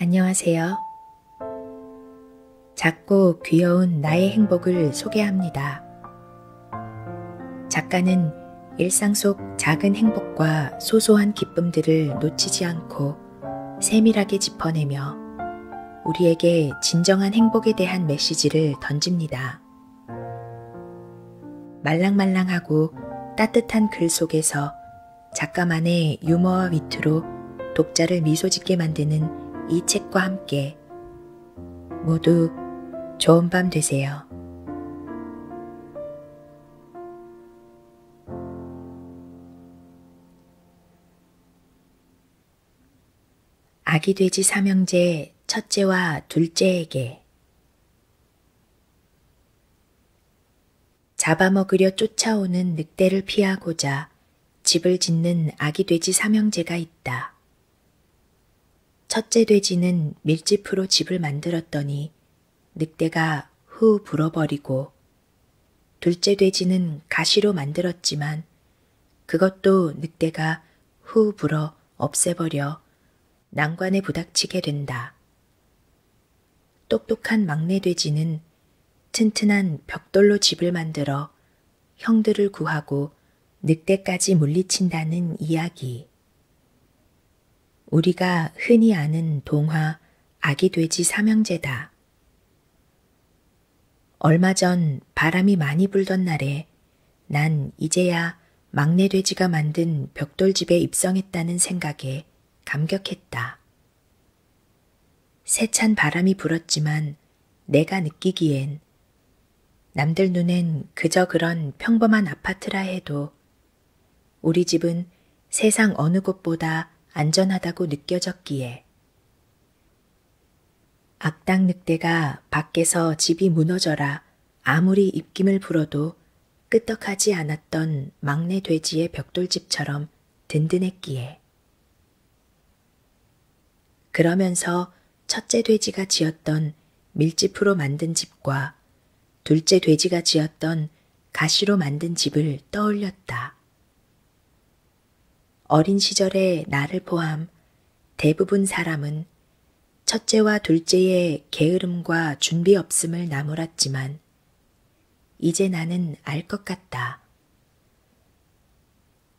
안녕하세요. 작고 귀여운 나의 행복을 소개합니다. 작가는 일상 속 작은 행복과 소소한 기쁨들을 놓치지 않고 세밀하게 짚어내며 우리에게 진정한 행복에 대한 메시지를 던집니다. 있었다. 말랑말랑하고 따뜻한 글 속에서 작가만의 유머와 위트로 독자를 미소 짓게 만드는 이 책과 함께 모두 좋은 밤 되세요. 아기 돼지 삼형제 첫째와 둘째에게 잡아먹으려 쫓아오는 늑대를 피하고자 집을 짓는 아기 돼지 삼형제가 있다. 첫째 돼지는 밀짚으로 집을 만들었더니 늑대가 후 불어버리고 둘째 돼지는 가시로 만들었지만 그것도 늑대가 후 불어 없애버려 난관에 부닥치게 된다. 똑똑한 막내 돼지는 튼튼한 벽돌로 집을 만들어 형들을 구하고 늑대까지 물리친다는 이야기. 우리가 흔히 아는 동화 아기 돼지 삼형제다. 얼마 전 바람이 많이 불던 날에 난 이제야 막내 돼지가 만든 벽돌집에 입성했다는 생각에 감격했다. 세찬 바람이 불었지만 내가 느끼기엔 남들 눈엔 그저 그런 평범한 아파트라 해도 우리 집은 세상 어느 곳보다 안전하다고 느껴졌기에 악당 늑대가 밖에서 집이 무너져라 아무리 입김을 불어도 끄떡하지 않았던 막내 돼지의 벽돌집처럼 든든했기에. 그러면서 첫째 돼지가 지었던 밀짚으로 만든 집과 둘째 돼지가 지었던 가시로 만든 집을 떠올렸다. 어린 시절의 나를 포함 대부분 사람은 첫째와 둘째의 게으름과 준비 없음을 나무랐지만, 이제 나는 알 것 같다.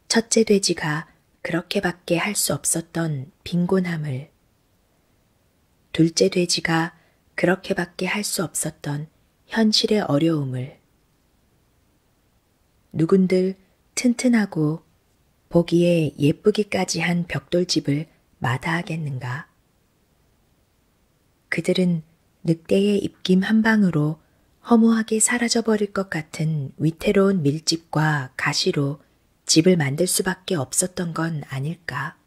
첫째 돼지가 그렇게밖에 할 수 없었던 빈곤함을, 둘째 돼지가 그렇게밖에 할 수 없었던 현실의 어려움을, 누군들 튼튼하고 보기에 예쁘기까지 한 벽돌집을 마다하겠는가? 그들은 늑대의 입김 한 방으로 허무하게 사라져버릴 것 같은 위태로운 밀집과 가시로 집을 만들 수밖에 없었던 건 아닐까?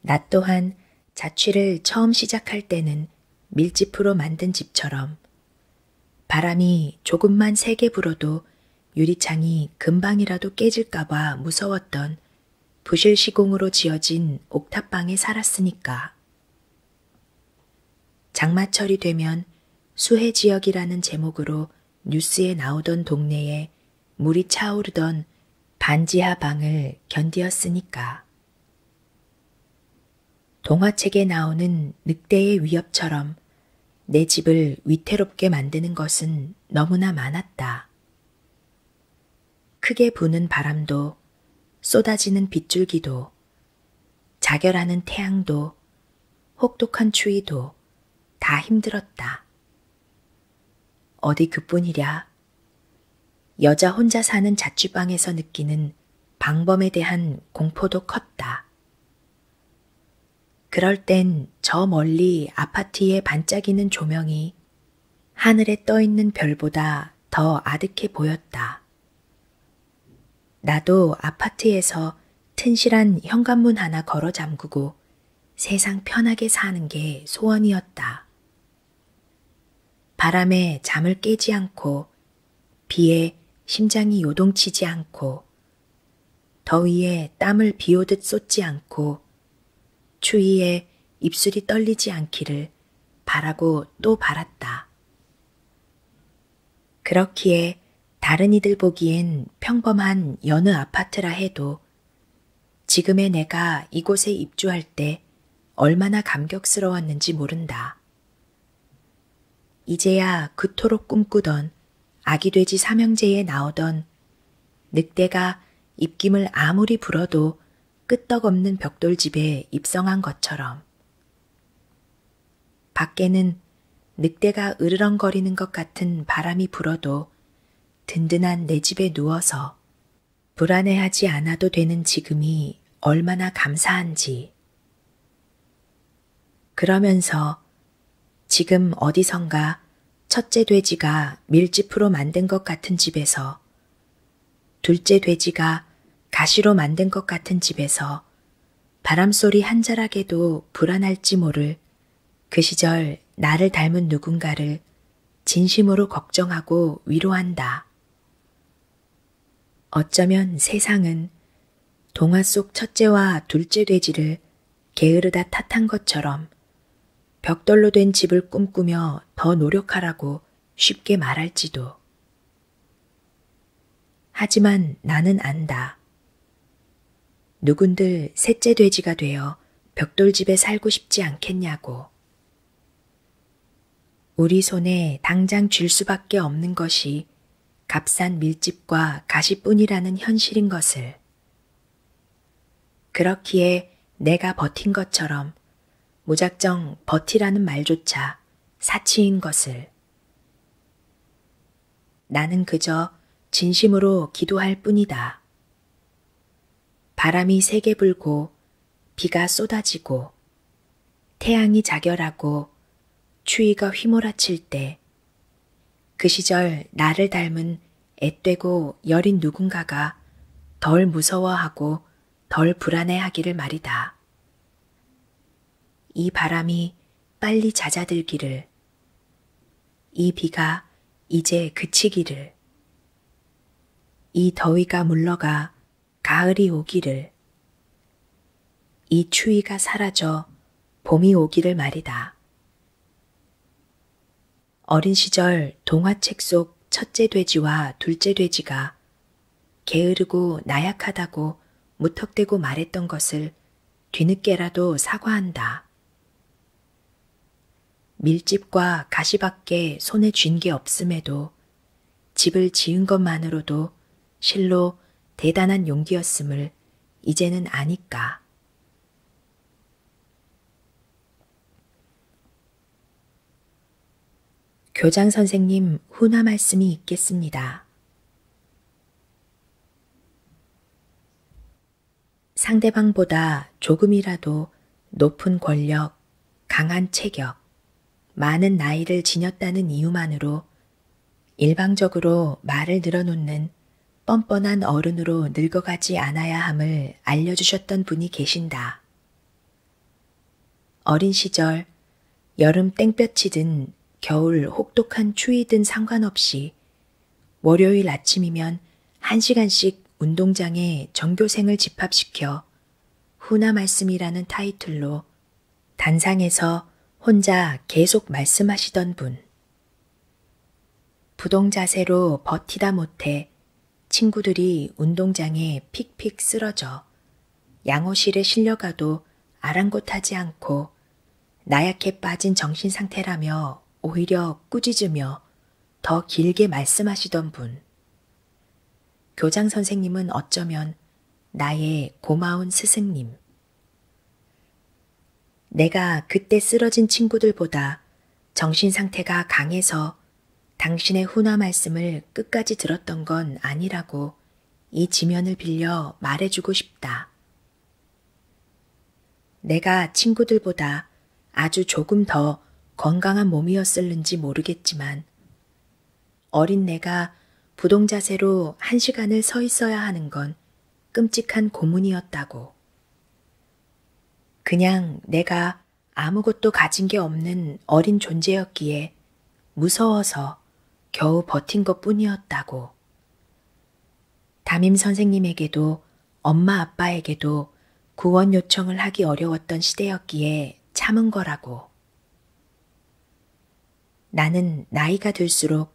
나 또한 자취를 처음 시작할 때는 밀집으로 만든 집처럼 바람이 조금만 세게 불어도 유리창이 금방이라도 깨질까봐 무서웠던 부실 시공으로 지어진 옥탑방에 살았으니까. 장마철이 되면 수해 지역이라는 제목으로 뉴스에 나오던 동네에 물이 차오르던 반지하 방을 견디었으니까. 동화책에 나오는 늑대의 위협처럼 내 집을 위태롭게 만드는 것은 너무나 많았다. 크게 부는 바람도 쏟아지는 빗줄기도 자결하는 태양도 혹독한 추위도 다 힘들었다. 어디 그뿐이랴. 여자 혼자 사는 자취방에서 느끼는 방범에 대한 공포도 컸다. 그럴 땐 저 멀리 아파트의 반짝이는 조명이 하늘에 떠있는 별보다 더 아득해 보였다. 나도 아파트에서 튼실한 현관문 하나 걸어 잠그고 세상 편하게 사는 게 소원이었다. 바람에 잠을 깨지 않고, 비에 심장이 요동치지 않고, 더위에 땀을 비오듯 쏟지 않고 추위에 입술이 떨리지 않기를 바라고 또 바랐다. 그렇기에 다른 이들 보기엔 평범한 여느 아파트라 해도 지금의 내가 이곳에 입주할 때 얼마나 감격스러웠는지 모른다. 이제야 그토록 꿈꾸던 아기돼지 삼형제에 나오던 늑대가 입김을 아무리 불어도 끄떡없는 벽돌집에 입성한 것처럼 밖에는 늑대가 으르렁거리는 것 같은 바람이 불어도 든든한 내 집에 누워서 불안해하지 않아도 되는 지금이 얼마나 감사한지 그러면서 지금 어디선가 첫째 돼지가 밀짚으로 만든 것 같은 집에서 둘째 돼지가 가시로 만든 것 같은 집에서 바람소리 한 자락에도 불안할지 모를 그 시절 나를 닮은 누군가를 진심으로 걱정하고 위로한다. 어쩌면 세상은 동화 속 첫째와 둘째 돼지를 게으르다 탓한 것처럼 벽돌로 된 집을 꿈꾸며 더 노력하라고 쉽게 말할지도. 하지만 나는 안다. 누군들 셋째 돼지가 되어 벽돌집에 살고 싶지 않겠냐고. 우리 손에 당장 쥘 수밖에 없는 것이 값싼 밀집과 가시뿐이라는 현실인 것을. 그렇기에 내가 버틴 것처럼 무작정 버티라는 말조차 사치인 것을. 나는 그저 진심으로 기도할 뿐이다. 바람이 세게 불고 비가 쏟아지고 태양이 자결하고 추위가 휘몰아칠 때그 시절 나를 닮은 앳되고 여린 누군가가 덜 무서워하고 덜 불안해하기를 말이다. 이 바람이 빨리 잦아들기를, 이 비가 이제 그치기를, 이 더위가 물러가 가을이 오기를, 이 추위가 사라져 봄이 오기를 말이다. 어린 시절 동화책 속 첫째 돼지와 둘째 돼지가 게으르고 나약하다고 무턱대고 말했던 것을 뒤늦게라도 사과한다. 밀집과 가시밖에 손에 쥔 게 없음에도 집을 지은 것만으로도 실로 대단한 용기였음을 이제는 아니까. 교장 선생님 훈화 말씀이 있겠습니다. 상대방보다 조금이라도 높은 권력, 강한 체격, 많은 나이를 지녔다는 이유만으로 일방적으로 말을 늘어놓는 뻔뻔한 어른으로 늙어가지 않아야 함을 알려주셨던 분이 계신다. 어린 시절 여름 땡볕이든 겨울 혹독한 추위든 상관없이 월요일 아침이면 한 시간씩 운동장에 전교생을 집합시켜 후나 말씀이라는 타이틀로 단상에서 혼자 계속 말씀하시던 분. 부동자세로 버티다 못해 친구들이 운동장에 픽픽 쓰러져 양호실에 실려가도 아랑곳하지 않고 나약해 빠진 정신 상태라며 오히려 꾸짖으며 더 길게 말씀하시던 분. 교장 선생님은 어쩌면 나의 고마운 스승님. 내가 그때 쓰러진 친구들보다 정신 상태가 강해서 당신의 훈화 말씀을 끝까지 들었던 건 아니라고 이 지면을 빌려 말해주고 싶다. 내가 친구들보다 아주 조금 더 건강한 몸이었을는지 모르겠지만 어린 내가 부동자세로 한 시간을 서 있어야 하는 건 끔찍한 고문이었다고. 그냥 내가 아무것도 가진 게 없는 어린 존재였기에 무서워서 겨우 버틴 것 뿐이었다고. 담임 선생님에게도 엄마 아빠에게도 구원 요청을 하기 어려웠던 시대였기에 참은 거라고. 나는 나이가 들수록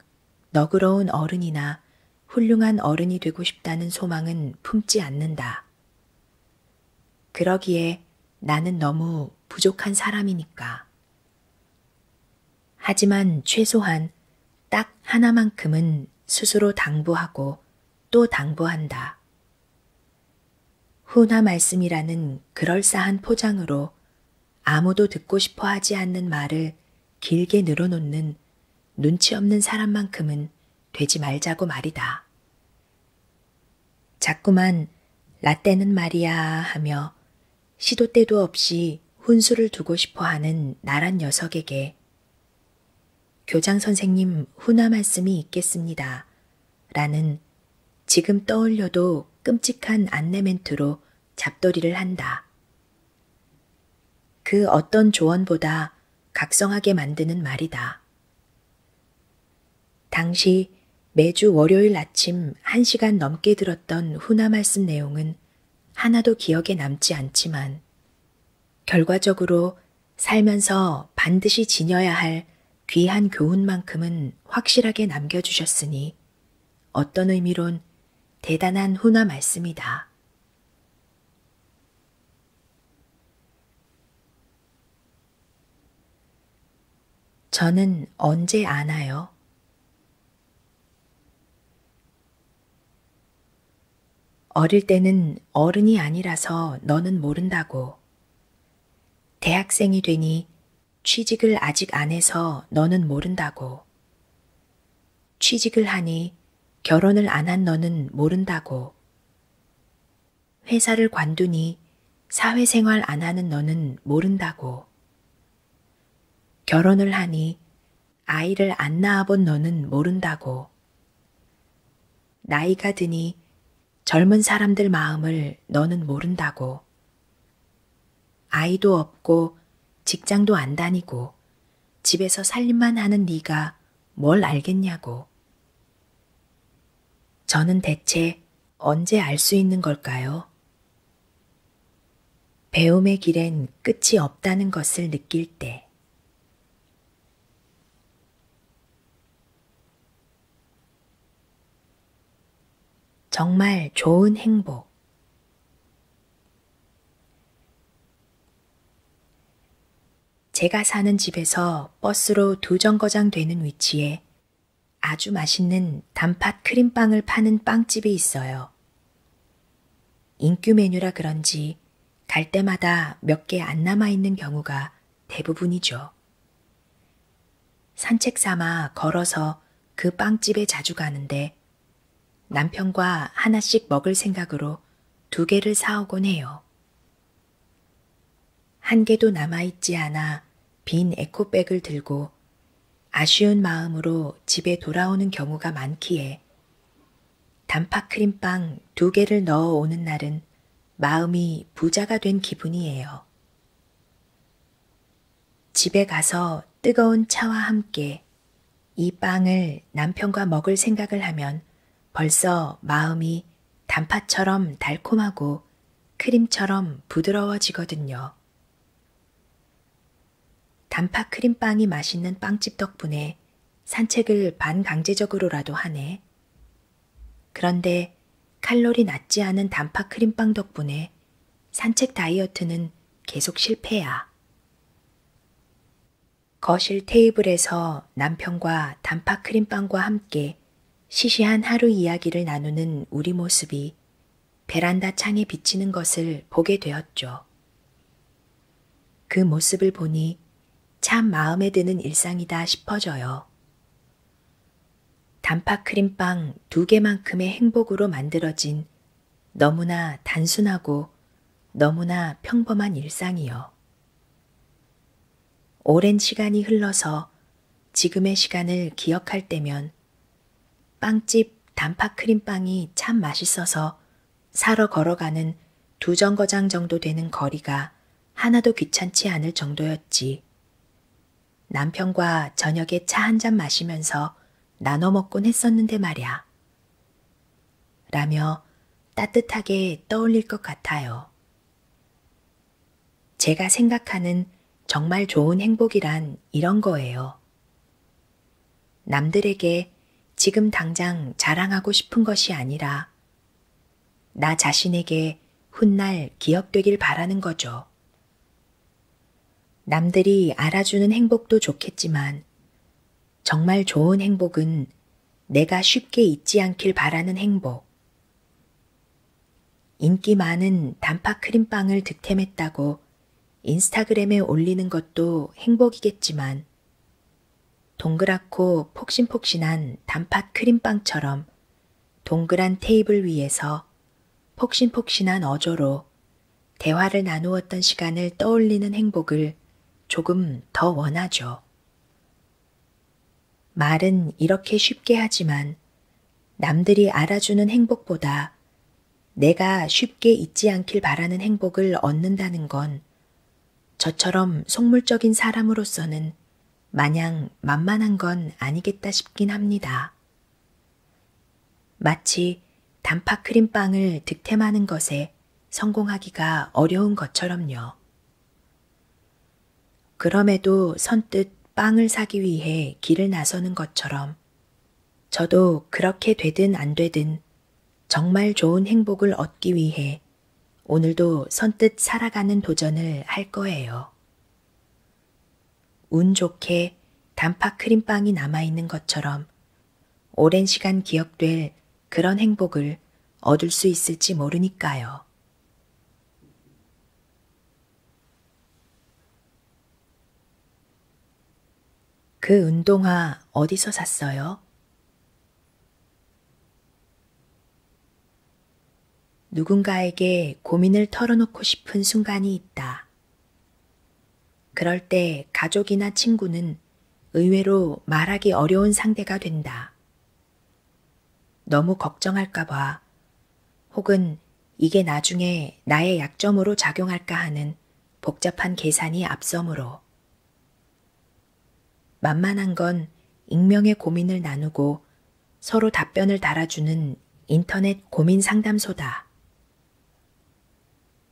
너그러운 어른이나 훌륭한 어른이 되고 싶다는 소망은 품지 않는다. 그러기에 나는 너무 부족한 사람이니까. 하지만 최소한 딱 하나만큼은 스스로 당부하고 또 당부한다. 후나 말씀이라는 그럴싸한 포장으로 아무도 듣고 싶어 하지 않는 말을 길게 늘어놓는 눈치 없는 사람만큼은 되지 말자고 말이다. 자꾸만 라떼는 말이야 하며 시도 때도 없이 훈수를 두고 싶어 하는 나란 녀석에게 교장 선생님 훈화 말씀이 있겠습니다. 라는 지금 떠올려도 끔찍한 안내 멘트로 잡돌이를 한다. 그 어떤 조언보다 각성하게 만드는 말이다. 당시 매주 월요일 아침 1시간 넘게 들었던 훈화 말씀 내용은 하나도 기억에 남지 않지만 결과적으로 살면서 반드시 지녀야 할 귀한 교훈만큼은 확실하게 남겨주셨으니 어떤 의미론 대단한 훈화 말씀이다. 저는 언제 아나요? 어릴 때는 어른이 아니라서 너는 모른다고. 대학생이 되니 취직을 아직 안 해서 너는 모른다고. 취직을 하니 결혼을 안 한 너는 모른다고. 회사를 관두니 사회생활 안 하는 너는 모른다고. 결혼을 하니 아이를 안 낳아본 너는 모른다고. 나이가 드니 젊은 사람들 마음을 너는 모른다고. 아이도 없고 직장도 안 다니고 집에서 살림만 하는 네가 뭘 알겠냐고. 저는 대체 언제 알 수 있는 걸까요? 배움의 길엔 끝이 없다는 것을 느낄 때. 정말 좋은 행복. 제가 사는 집에서 버스로 두 정거장 되는 위치에 아주 맛있는 단팥 크림빵을 파는 빵집이 있어요. 인기 메뉴라 그런지 갈 때마다 몇 개 안 남아있는 경우가 대부분이죠. 산책 삼아 걸어서 그 빵집에 자주 가는데 남편과 하나씩 먹을 생각으로 두 개를 사오곤 해요. 한 개도 남아있지 않아 빈 에코백을 들고 아쉬운 마음으로 집에 돌아오는 경우가 많기에 단팥크림빵 두 개를 넣어 오는 날은 마음이 부자가 된 기분이에요. 집에 가서 뜨거운 차와 함께 이 빵을 남편과 먹을 생각을 하면 벌써 마음이 단팥처럼 달콤하고 크림처럼 부드러워지거든요. 단팥 크림빵이 맛있는 빵집 덕분에 산책을 반강제적으로라도 하네. 그런데 칼로리 낮지 않은 단팥 크림빵 덕분에 산책 다이어트는 계속 실패야. 거실 테이블에서 남편과 단팥 크림빵과 함께 시시한 하루 이야기를 나누는 우리 모습이 베란다 창에 비치는 것을 보게 되었죠. 그 모습을 보니 참 마음에 드는 일상이다 싶어져요. 단팥 크림빵 두 개만큼의 행복으로 만들어진 너무나 단순하고 너무나 평범한 일상이요. 오랜 시간이 흘러서 지금의 시간을 기억할 때면 빵집 단팥 크림빵이 참 맛있어서 사러 걸어가는 두 정거장 정도 되는 거리가 하나도 귀찮지 않을 정도였지. 남편과 저녁에 차 한 잔 마시면서 나눠 먹곤 했었는데 말야. 라며 따뜻하게 떠올릴 것 같아요. 제가 생각하는 정말 좋은 행복이란 이런 거예요. 남들에게 지금 당장 자랑하고 싶은 것이 아니라 나 자신에게 훗날 기억되길 바라는 거죠. 남들이 알아주는 행복도 좋겠지만 정말 좋은 행복은 내가 쉽게 잊지 않길 바라는 행복. 인기 많은 단팥 크림빵을 득템했다고 인스타그램에 올리는 것도 행복이겠지만, 동그랗고 폭신폭신한 단팥 크림빵처럼 동그란 테이블 위에서 폭신폭신한 어조로 대화를 나누었던 시간을 떠올리는 행복을 조금 더 원하죠. 말은 이렇게 쉽게 하지만 남들이 알아주는 행복보다 내가 쉽게 잊지 않길 바라는 행복을 얻는다는 건 저처럼 속물적인 사람으로서는 마냥 만만한 건 아니겠다 싶긴 합니다. 마치 단팥 크림빵을 득템하는 것에 성공하기가 어려운 것처럼요. 그럼에도 선뜻 빵을 사기 위해 길을 나서는 것처럼 저도 그렇게 되든 안 되든 정말 좋은 행복을 얻기 위해 오늘도 선뜻 살아가는 도전을 할 거예요. 운 좋게 단팥 크림빵이 남아있는 것처럼 오랜 시간 기억될 그런 행복을 얻을 수 있을지 모르니까요. 그 운동화 어디서 샀어요? 누군가에게 고민을 털어놓고 싶은 순간이 있다. 그럴 때 가족이나 친구는 의외로 말하기 어려운 상대가 된다. 너무 걱정할까봐 혹은 이게 나중에 나의 약점으로 작용할까 하는 복잡한 계산이 앞서므로 만만한 건 익명의 고민을 나누고 서로 답변을 달아주는 인터넷 고민 상담소다.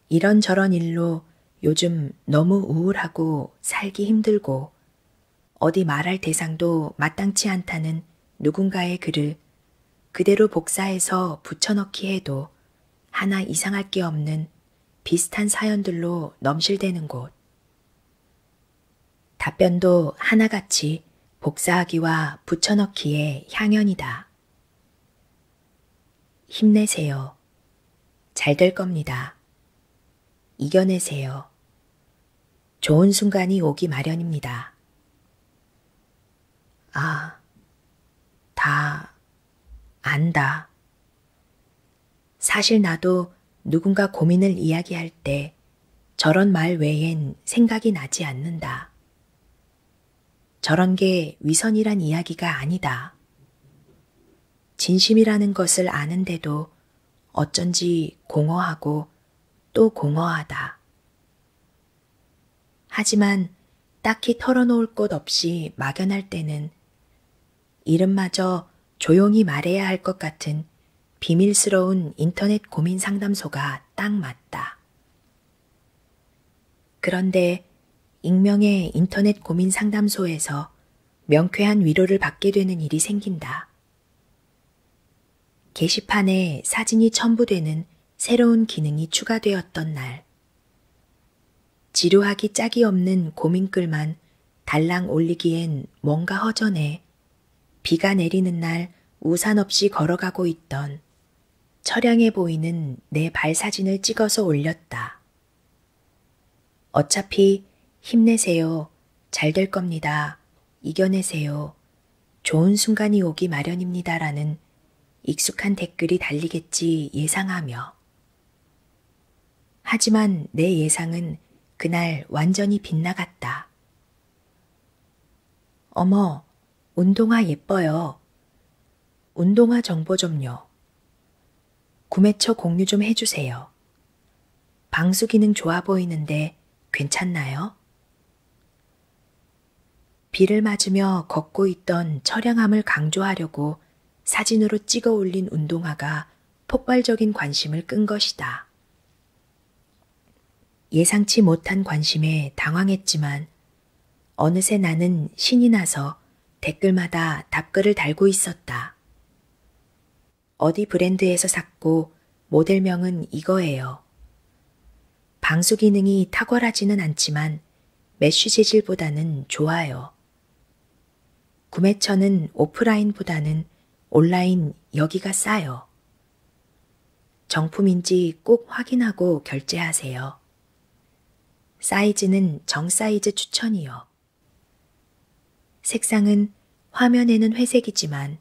이런저런 일로 요즘 너무 우울하고 살기 힘들고 어디 말할 대상도 마땅치 않다는 누군가의 글을 그대로 복사해서 붙여넣기 해도 하나 이상할 게 없는 비슷한 사연들로 넘실대는 곳. 답변도 하나같이 복사하기와 붙여넣기에 향연이다. 힘내세요. 잘 될 겁니다. 이겨내세요. 좋은 순간이 오기 마련입니다. 아, 다 안다. 사실 나도 누군가 고민을 이야기할 때 저런 말 외엔 생각이 나지 않는다. 저런 게 위선이란 이야기가 아니다. 진심이라는 것을 아는데도 어쩐지 공허하고 또 공허하다. 하지만 딱히 털어놓을 곳 없이 막연할 때는 이름마저 조용히 말해야 할 것 같은 비밀스러운 인터넷 고민 상담소가 딱 맞다. 그런데 익명의 인터넷 고민 상담소에서 명쾌한 위로를 받게 되는 일이 생긴다. 게시판에 사진이 첨부되는 새로운 기능이 추가되었던 날, 지루하기 짝이 없는 고민글만 달랑 올리기엔 뭔가 허전해 비가 내리는 날 우산 없이 걸어가고 있던 철량해 보이는 내 발 사진을 찍어서 올렸다. 어차피 힘내세요. 잘 될 겁니다. 이겨내세요. 좋은 순간이 오기 마련입니다라는 익숙한 댓글이 달리겠지 예상하며. 하지만 내 예상은 그날 완전히 빗나갔다. 어머, 운동화 예뻐요. 운동화 정보 좀요. 구매처 공유 좀 해주세요. 방수 기능 좋아 보이는데 괜찮나요? 비를 맞으며 걷고 있던 처량함을 강조하려고 사진으로 찍어 올린 운동화가 폭발적인 관심을 끈 것이다. 예상치 못한 관심에 당황했지만 어느새 나는 신이 나서 댓글마다 답글을 달고 있었다. 있습니다. 어디 브랜드에서 샀고 모델명은 이거예요. 방수 기능이 탁월하지는 않지만 메쉬 재질보다는 좋아요. 구매처는 오프라인보다는 온라인 여기가 싸요. 정품인지 꼭 확인하고 결제하세요. 사이즈는 정사이즈 추천이요. 색상은 화면에는 회색이지만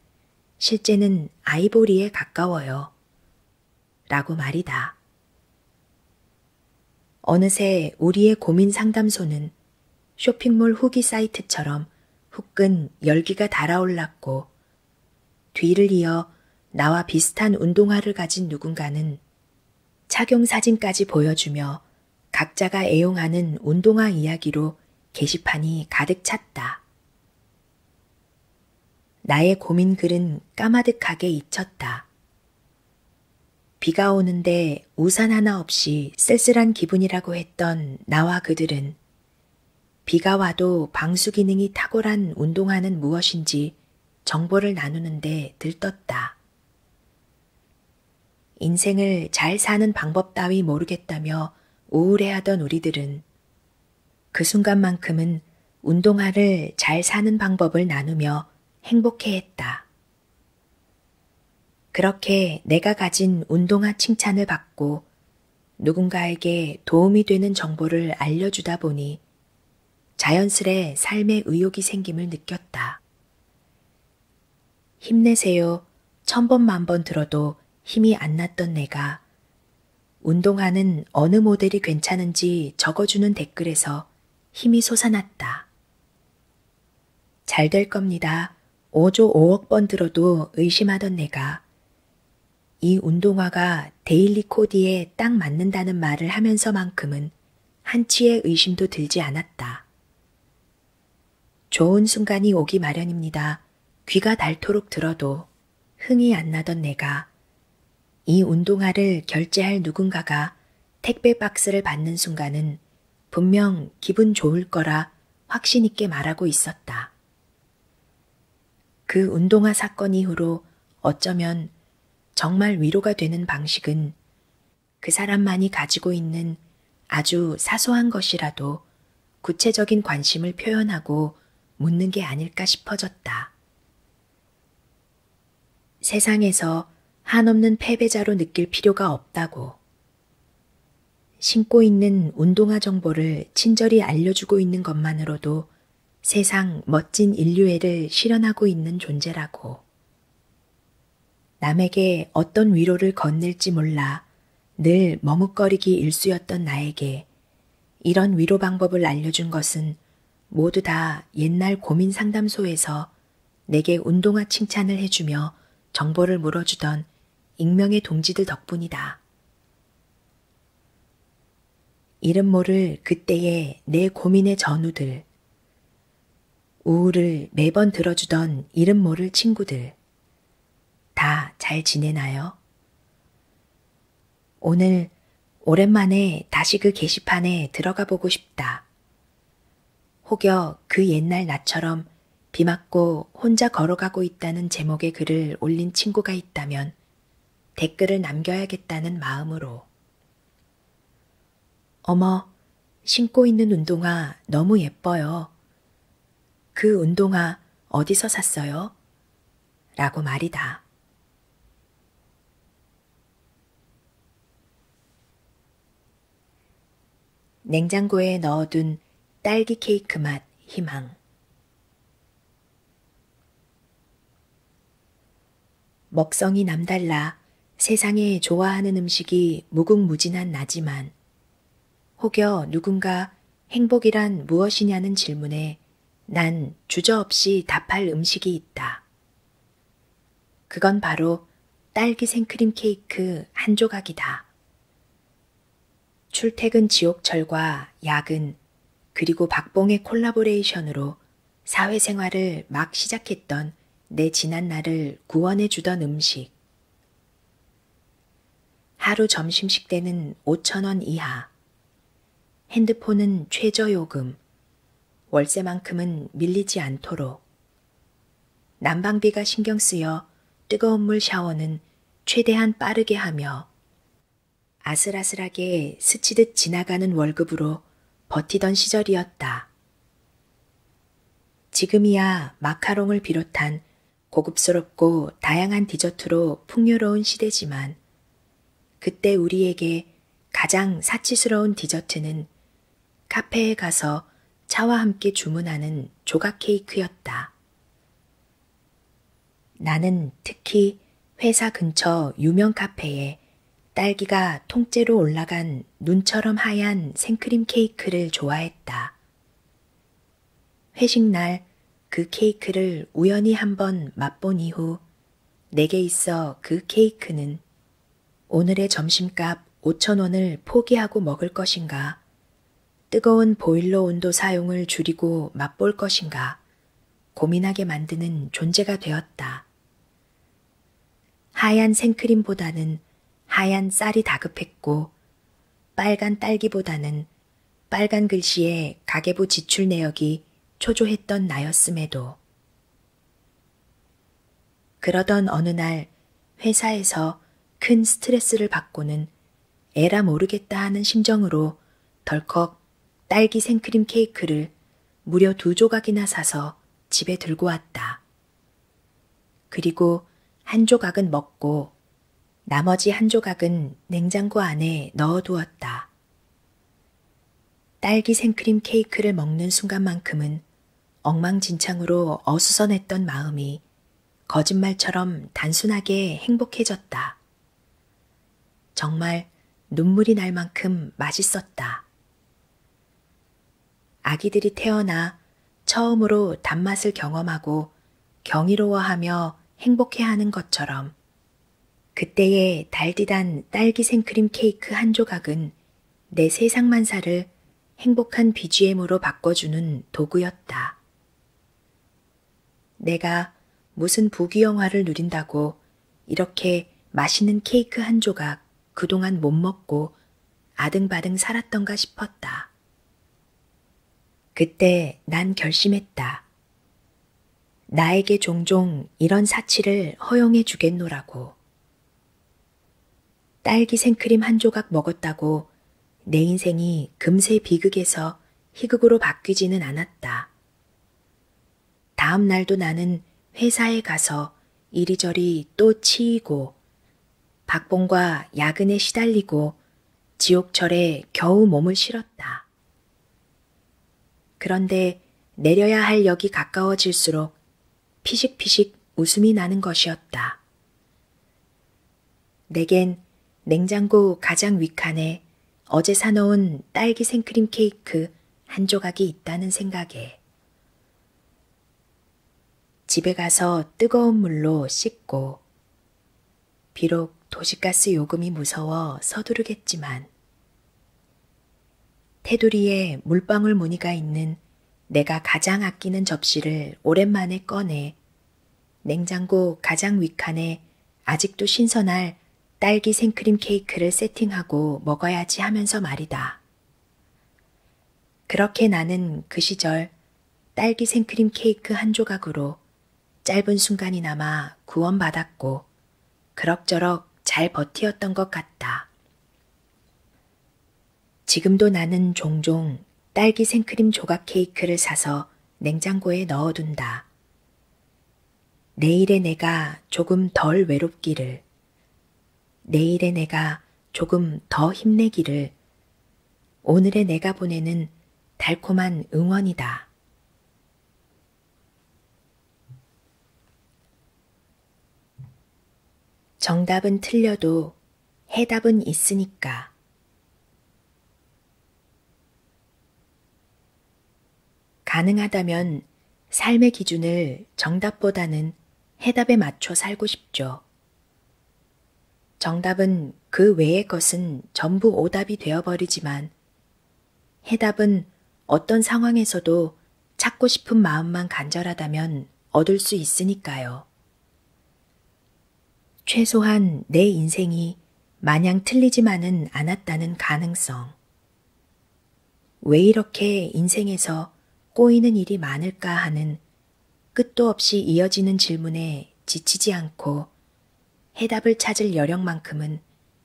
실제는 아이보리에 가까워요. 라고 말이다. 어느새 우리의 고민 상담소는 쇼핑몰 후기 사이트처럼 후끈 열기가 달아올랐고, 뒤를 이어 나와 비슷한 운동화를 가진 누군가는 착용 사진까지 보여주며 각자가 애용하는 운동화 이야기로 게시판이 가득 찼다. 나의 고민글은 까마득하게 잊혔다. 비가 오는데 우산 하나 없이 쓸쓸한 기분이라고 했던 나와 그들은 비가 와도 방수 기능이 탁월한 운동화는 무엇인지 정보를 나누는데 들떴다. 인생을 잘 사는 방법 따위 모르겠다며 우울해하던 우리들은 그 순간만큼은 운동화를 잘 사는 방법을 나누며 행복해했다. 그렇게 내가 가진 운동화 칭찬을 받고 누군가에게 도움이 되는 정보를 알려주다 보니 자연스레 삶의 의욕이 생김을 느꼈다. 힘내세요. 천 번 만 번 들어도 힘이 안 났던 내가 운동화는 어느 모델이 괜찮은지 적어주는 댓글에서 힘이 솟아났다. 잘 될 겁니다. 5조 5억 번 들어도 의심하던 내가 이 운동화가 데일리 코디에 딱 맞는다는 말을 하면서만큼은 한치의 의심도 들지 않았다. 좋은 순간이 오기 마련입니다. 귀가 닳도록 들어도 흥이 안 나던 내가 이 운동화를 결제할 누군가가 택배 박스를 받는 순간은 분명 기분 좋을 거라 확신있게 말하고 있었다. 그 운동화 사건 이후로 어쩌면 정말 위로가 되는 방식은 그 사람만이 가지고 있는 아주 사소한 것이라도 구체적인 관심을 표현하고 묻는 게 아닐까 싶어졌다. 세상에서 한없는 패배자로 느낄 필요가 없다고. 신고 있는 운동화 정보를 친절히 알려주고 있는 것만으로도 세상 멋진 인류애를 실현하고 있는 존재라고. 남에게 어떤 위로를 건넬지 몰라 늘 머뭇거리기 일쑤였던 나에게 이런 위로 방법을 알려준 것은 모두 다 옛날 고민 상담소에서 내게 운동화 칭찬을 해주며 정보를 물어주던 익명의 동지들 덕분이다. 이름 모를 그때의 내 고민의 전우들. 우울을 매번 들어주던 이름 모를 친구들. 다 잘 지내나요? 오늘 오랜만에 다시 그 게시판에 들어가 보고 싶다. 혹여 그 옛날 나처럼 비 맞고 혼자 걸어가고 있다는 제목의 글을 올린 친구가 있다면 댓글을 남겨야겠다는 마음으로 어머, 신고 있는 운동화 너무 예뻐요. 그 운동화 어디서 샀어요? 라고 말이다. 냉장고에 넣어둔 딸기 케이크 맛 희망. 먹성이 남달라 세상에 좋아하는 음식이 무궁무진한 나지만 혹여 누군가 행복이란 무엇이냐는 질문에 난 주저없이 답할 음식이 있다. 그건 바로 딸기 생크림 케이크 한 조각이다. 출퇴근 지옥철과 야근, 그리고 박봉의 콜라보레이션으로 사회생활을 막 시작했던 내 지난 날을 구원해주던 음식. 하루 점심식 때는 5천원 이하, 핸드폰은 최저요금, 월세만큼은 밀리지 않도록, 난방비가 신경 쓰여 뜨거운 물 샤워는 최대한 빠르게 하며, 아슬아슬하게 스치듯 지나가는 월급으로 버티던 시절이었다. 지금이야 마카롱을 비롯한 고급스럽고 다양한 디저트로 풍요로운 시대지만 그때 우리에게 가장 사치스러운 디저트는 카페에 가서 차와 함께 주문하는 조각 케이크였다. 나는 특히 회사 근처 유명 카페에 딸기가 통째로 올라간 눈처럼 하얀 생크림 케이크를 좋아했다. 회식날 그 케이크를 우연히 한번 맛본 이후 내게 있어 그 케이크는 오늘의 점심값 5천원을 포기하고 먹을 것인가, 뜨거운 보일러 온도 사용을 줄이고 맛볼 것인가 고민하게 만드는 존재가 되었다. 하얀 생크림보다는 하얀 쌀이 다급했고 빨간 딸기보다는 빨간 글씨에 가계부 지출 내역이 초조했던 나였음에도 그러던 어느 날 회사에서 큰 스트레스를 받고는 에라 모르겠다 하는 심정으로 덜컥 딸기 생크림 케이크를 무려 두 조각이나 사서 집에 들고 왔다. 그리고 한 조각은 먹고 나머지 한 조각은 냉장고 안에 넣어두었다. 딸기 생크림 케이크를 먹는 순간만큼은 엉망진창으로 어수선했던 마음이 거짓말처럼 단순하게 행복해졌다. 정말 눈물이 날 만큼 맛있었다. 아기들이 태어나 처음으로 단맛을 경험하고 경이로워하며 행복해하는 것처럼 그때의 달디단 딸기 생크림 케이크 한 조각은 내 세상만사를 행복한 BGM으로 바꿔주는 도구였다. 내가 무슨 부귀영화를 누린다고 이렇게 맛있는 케이크 한 조각 그동안 못 먹고 아등바등 살았던가 싶었다. 그때 난 결심했다. 나에게 종종 이런 사치를 허용해 주겠노라고. 딸기 생크림 한 조각 먹었다고 내 인생이 금세 비극에서 희극으로 바뀌지는 않았다. 다음 날도 나는 회사에 가서 이리저리 또 치이고 박봉과 야근에 시달리고 지옥철에 겨우 몸을 실었다. 그런데 내려야 할 역이 가까워질수록 피식피식 웃음이 나는 것이었다. 내겐 냉장고 가장 윗칸에 어제 사놓은 딸기 생크림 케이크 한 조각이 있다는 생각에 집에 가서 뜨거운 물로 씻고, 비록 도시가스 요금이 무서워 서두르겠지만, 테두리에 물방울 무늬가 있는 내가 가장 아끼는 접시를 오랜만에 꺼내 냉장고 가장 위칸에 아직도 신선할 딸기 생크림 케이크를 세팅하고 먹어야지 하면서 말이다. 그렇게 나는 그 시절 딸기 생크림 케이크 한 조각으로 짧은 순간이나마 구원받았고 그럭저럭 잘 버티었던 것 같다. 지금도 나는 종종 딸기 생크림 조각 케이크를 사서 냉장고에 넣어둔다. 내일의 내가 조금 덜 외롭기를, 내일의 내가 조금 더 힘내기를 오늘의 내가 보내는 달콤한 응원이다. 정답은 틀려도 해답은 있으니까. 가능하다면 삶의 기준을 정답보다는 해답에 맞춰 살고 싶죠. 정답은 그 외의 것은 전부 오답이 되어버리지만 해답은 어떤 상황에서도 찾고 싶은 마음만 간절하다면 얻을 수 있으니까요. 최소한 내 인생이 마냥 틀리지만은 않았다는 가능성. 왜 이렇게 인생에서 꼬이는 일이 많을까 하는 끝도 없이 이어지는 질문에 지치지 않고 해답을 찾을 여력만큼은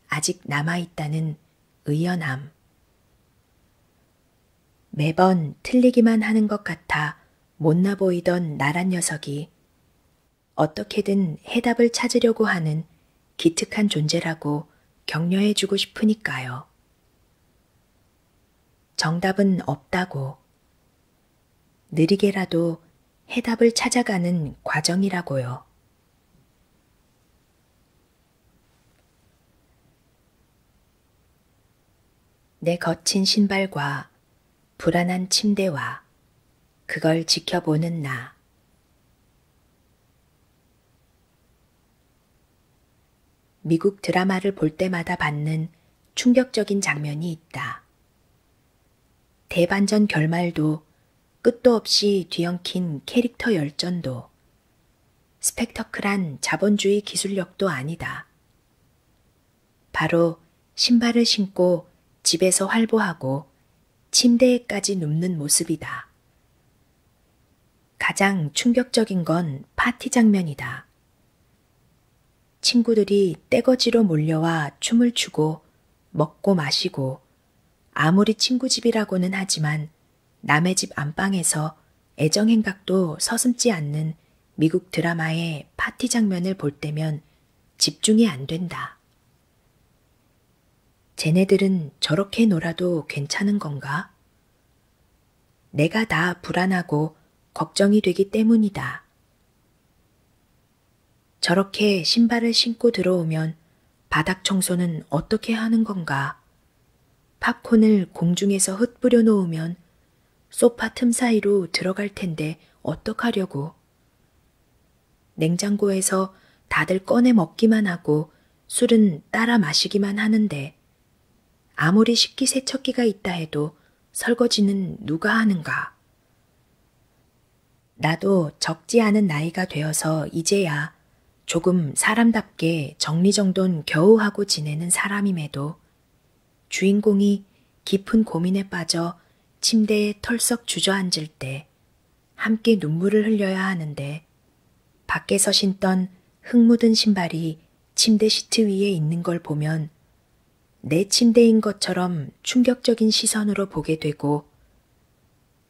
아직 남아있다는 의연함. 매번 틀리기만 하는 것 같아 못나 보이던 나란 녀석이 어떻게든 해답을 찾으려고 하는 기특한 존재라고 격려해주고 싶으니까요. 정답은 없다고 느리게라도 해답을 찾아가는 과정이라고요. 내 거친 신발과 불안한 침대와 그걸 지켜보는 나. 미국 드라마를 볼 때마다 받는 충격적인 장면이 있다. 대반전 결말도 끝도 없이 뒤엉킨 캐릭터 열전도 스펙터클한 자본주의 기술력도 아니다. 바로 신발을 신고 집에서 활보하고 침대에까지 눕는 모습이다. 가장 충격적인 건 파티 장면이다. 친구들이 떼거지로 몰려와 춤을 추고 먹고 마시고 아무리 친구 집이라고는 하지만 남의 집 안방에서 애정행각도 서슴지 않는 미국 드라마의 파티 장면을 볼 때면 집중이 안 된다. 쟤네들은 저렇게 놀아도 괜찮은 건가? 내가 다 불안하고 걱정이 되기 때문이다. 저렇게 신발을 신고 들어오면 바닥 청소는 어떻게 하는 건가? 팝콘을 공중에서 흩뿌려 놓으면 소파 틈 사이로 들어갈 텐데 어떡하려고. 냉장고에서 다들 꺼내 먹기만 하고 술은 따라 마시기만 하는데 아무리 식기세척기가 있다 해도 설거지는 누가 하는가? 나도 적지 않은 나이가 되어서 이제야 조금 사람답게 정리정돈 겨우 하고 지내는 사람임에도 주인공이 깊은 고민에 빠져 침대에 털썩 주저앉을 때 함께 눈물을 흘려야 하는데 밖에서 신던 흙 묻은 신발이 침대 시트 위에 있는 걸 보면 내 침대인 것처럼 충격적인 시선으로 보게 되고,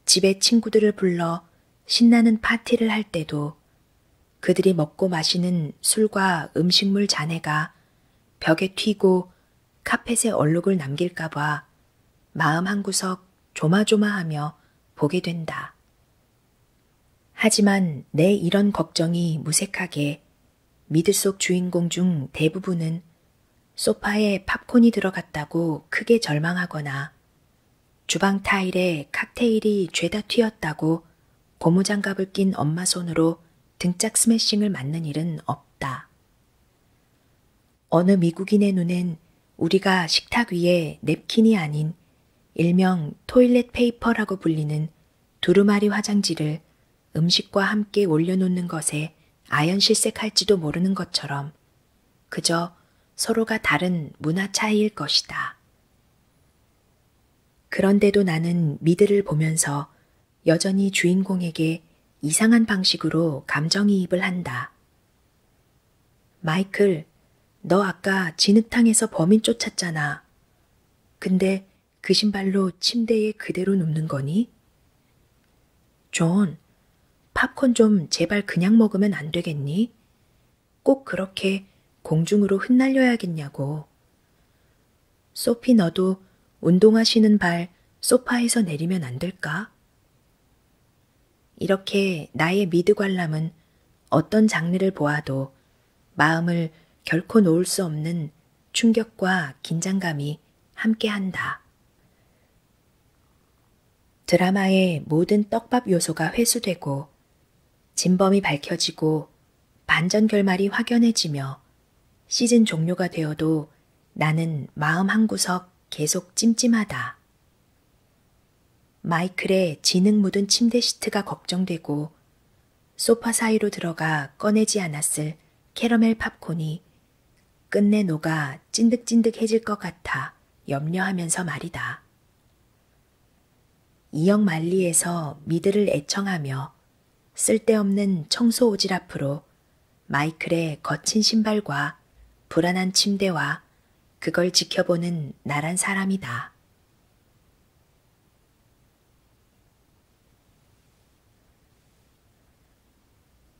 집에 친구들을 불러 신나는 파티를 할 때도 그들이 먹고 마시는 술과 음식물 잔해가 벽에 튀고 카펫에 얼룩을 남길까봐 마음 한구석 조마조마하며 보게 된다. 하지만 내 이런 걱정이 무색하게 미드 속 주인공 중 대부분은 소파에 팝콘이 들어갔다고 크게 절망하거나 주방 타일에 칵테일이 죄다 튀었다고 고무장갑을 낀 엄마 손으로 등짝 스매싱을 맞는 일은 없다. 어느 미국인의 눈엔 우리가 식탁 위에 냅킨이 아닌 일명 토일렛 페이퍼라고 불리는 두루마리 화장지를 음식과 함께 올려놓는 것에 아연실색할지도 모르는 것처럼 그저 서로가 다른 문화 차이일 것이다. 그런데도 나는 미드를 보면서 여전히 주인공에게 이상한 방식으로 감정이입을 한다. 마이클, 너 아까 진흙탕에서 범인 쫓았잖아. 근데 그 신발로 침대에 그대로 눕는 거니? 존, 팝콘 좀 제발 그냥 먹으면 안 되겠니? 꼭 그렇게 공중으로 흩날려야겠냐고. 소피 너도 운동화 신은 발 소파에서 내리면 안 될까? 이렇게 나의 미드 관람은 어떤 장르를 보아도 마음을 결코 놓을 수 없는 충격과 긴장감이 함께한다. 드라마의 모든 떡밥 요소가 회수되고 진범이 밝혀지고 반전 결말이 확연해지며 시즌 종료가 되어도 나는 마음 한구석 계속 찜찜하다. 마이클의 지능 묻은 침대 시트가 걱정되고 소파 사이로 들어가 꺼내지 않았을 캐러멜 팝콘이 끝내 녹아 찐득찐득해질 것 같아 염려하면서 말이다. 이역 만리에서 미드를 애청하며 쓸데없는 청소 오질 앞으로 마이클의 거친 신발과 불안한 침대와 그걸 지켜보는 나란 사람이다.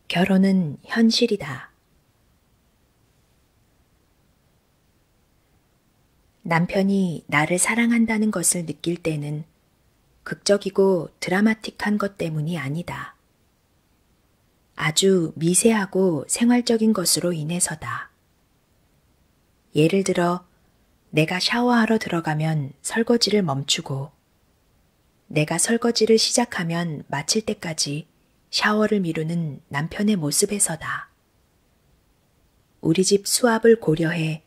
결혼은 현실이다. 남편이 나를 사랑한다는 것을 느낄 때는 극적이고 드라마틱한 것 때문이 아니다. 아주 미세하고 생활적인 것으로 인해서다. 예를 들어, 내가 샤워하러 들어가면 설거지를 멈추고, 내가 설거지를 시작하면 마칠 때까지 샤워를 미루는 남편의 모습에서다. 우리 집 수압을 고려해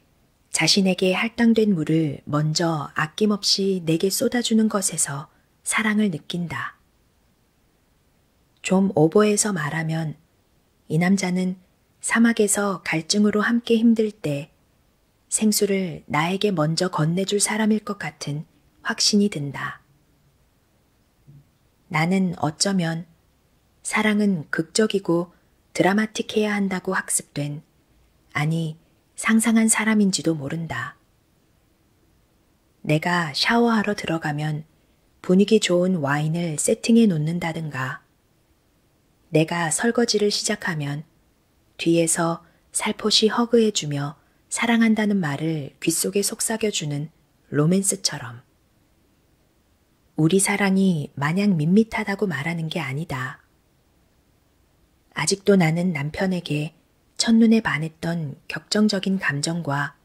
자신에게 할당된 물을 먼저 아낌없이 내게 쏟아주는 것에서 사랑을 느낀다. 좀 오버해서 말하면 이 남자는 사막에서 갈증으로 함께 힘들 때 생수를 나에게 먼저 건네줄 사람일 것 같은 확신이 든다. 나는 어쩌면 사랑은 극적이고 드라마틱해야 한다고 학습된, 아니, 상상한 사람인지도 모른다. 내가 샤워하러 들어가면 분위기 좋은 와인을 세팅해 놓는다든가, 내가 설거지를 시작하면 뒤에서 살포시 허그해주며 사랑한다는 말을 귓속에 속삭여주는 로맨스처럼 우리 사랑이 마냥 밋밋하다고 말하는 게 아니다. 아직도 나는 남편에게 첫눈에 반했던 격정적인 감정과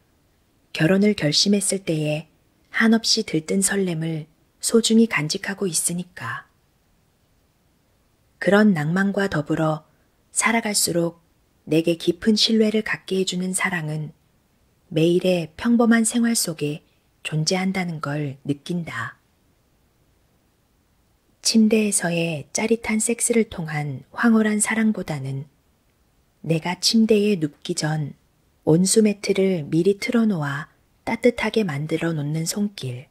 결혼을 결심했을 때의 한없이 들뜬 설렘을 소중히 간직하고 있으니까. 그런 낭만과 더불어 살아갈수록 내게 깊은 신뢰를 갖게 해주는 사랑은 매일의 평범한 생활 속에 존재한다는 걸 느낀다. 침대에서의 짜릿한 섹스를 통한 황홀한 사랑보다는 내가 침대에 눕기 전 온수매트를 미리 틀어놓아 따뜻하게 만들어 놓는 손길,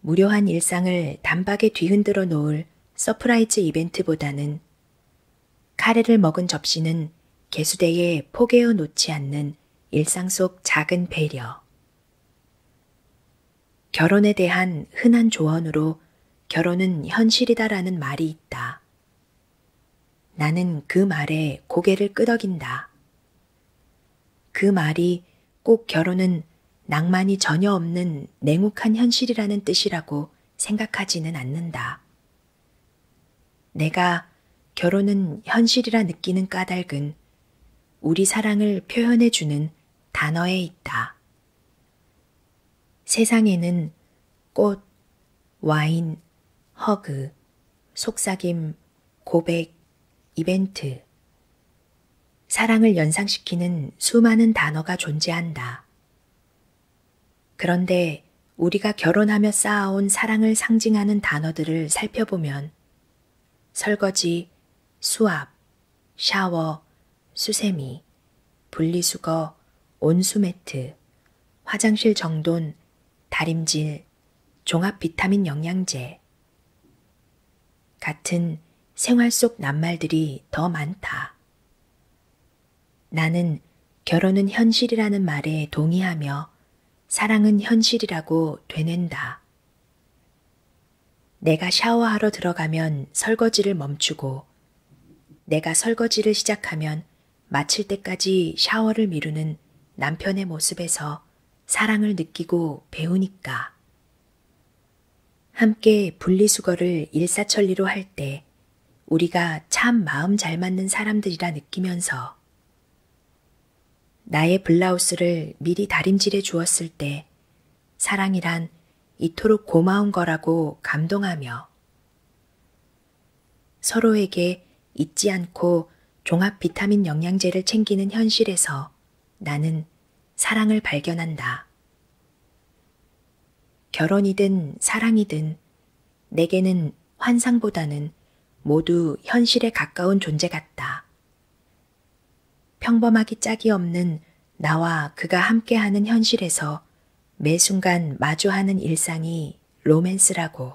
무료한 일상을 단박에 뒤흔들어 놓을 서프라이즈 이벤트보다는 카레를 먹은 접시는 개수대에 포개어 놓지 않는 일상 속 작은 배려. 결혼에 대한 흔한 조언으로 결혼은 현실이다라는 말이 있다. 나는 그 말에 고개를 끄덕인다. 그 말이 꼭 결혼은 낭만이 전혀 없는 냉혹한 현실이라는 뜻이라고 생각하지는 않는다. 내가 결혼은 현실이라 느끼는 까닭은 우리 사랑을 표현해주는 단어에 있다. 세상에는 꽃, 와인, 허그, 속삭임, 고백, 이벤트, 사랑을 연상시키는 수많은 단어가 존재한다. 그런데 우리가 결혼하며 쌓아온 사랑을 상징하는 단어들을 살펴보면 설거지, 수압, 샤워, 수세미, 분리수거, 온수매트, 화장실 정돈, 다림질, 종합 비타민 영양제 같은 생활 속 낱말들이 더 많다. 나는 결혼은 현실이라는 말에 동의하며 사랑은 현실이라고 되낸다. 내가 샤워하러 들어가면 설거지를 멈추고 내가 설거지를 시작하면 마칠 때까지 샤워를 미루는 남편의 모습에서 사랑을 느끼고 배우니까. 함께 분리수거를 일사천리로 할 때 우리가 참 마음 잘 맞는 사람들이라 느끼면서 나의 블라우스를 미리 다림질해 주었을 때 사랑이란 이토록 고마운 거라고 감동하며 서로에게 잊지 않고 종합 비타민 영양제를 챙기는 현실에서 나는 사랑을 발견한다. 결혼이든 사랑이든 내게는 환상보다는 모두 현실에 가까운 존재 같다. 평범하기 짝이 없는 나와 그가 함께하는 현실에서 매 순간 마주하는 일상이 로맨스라고.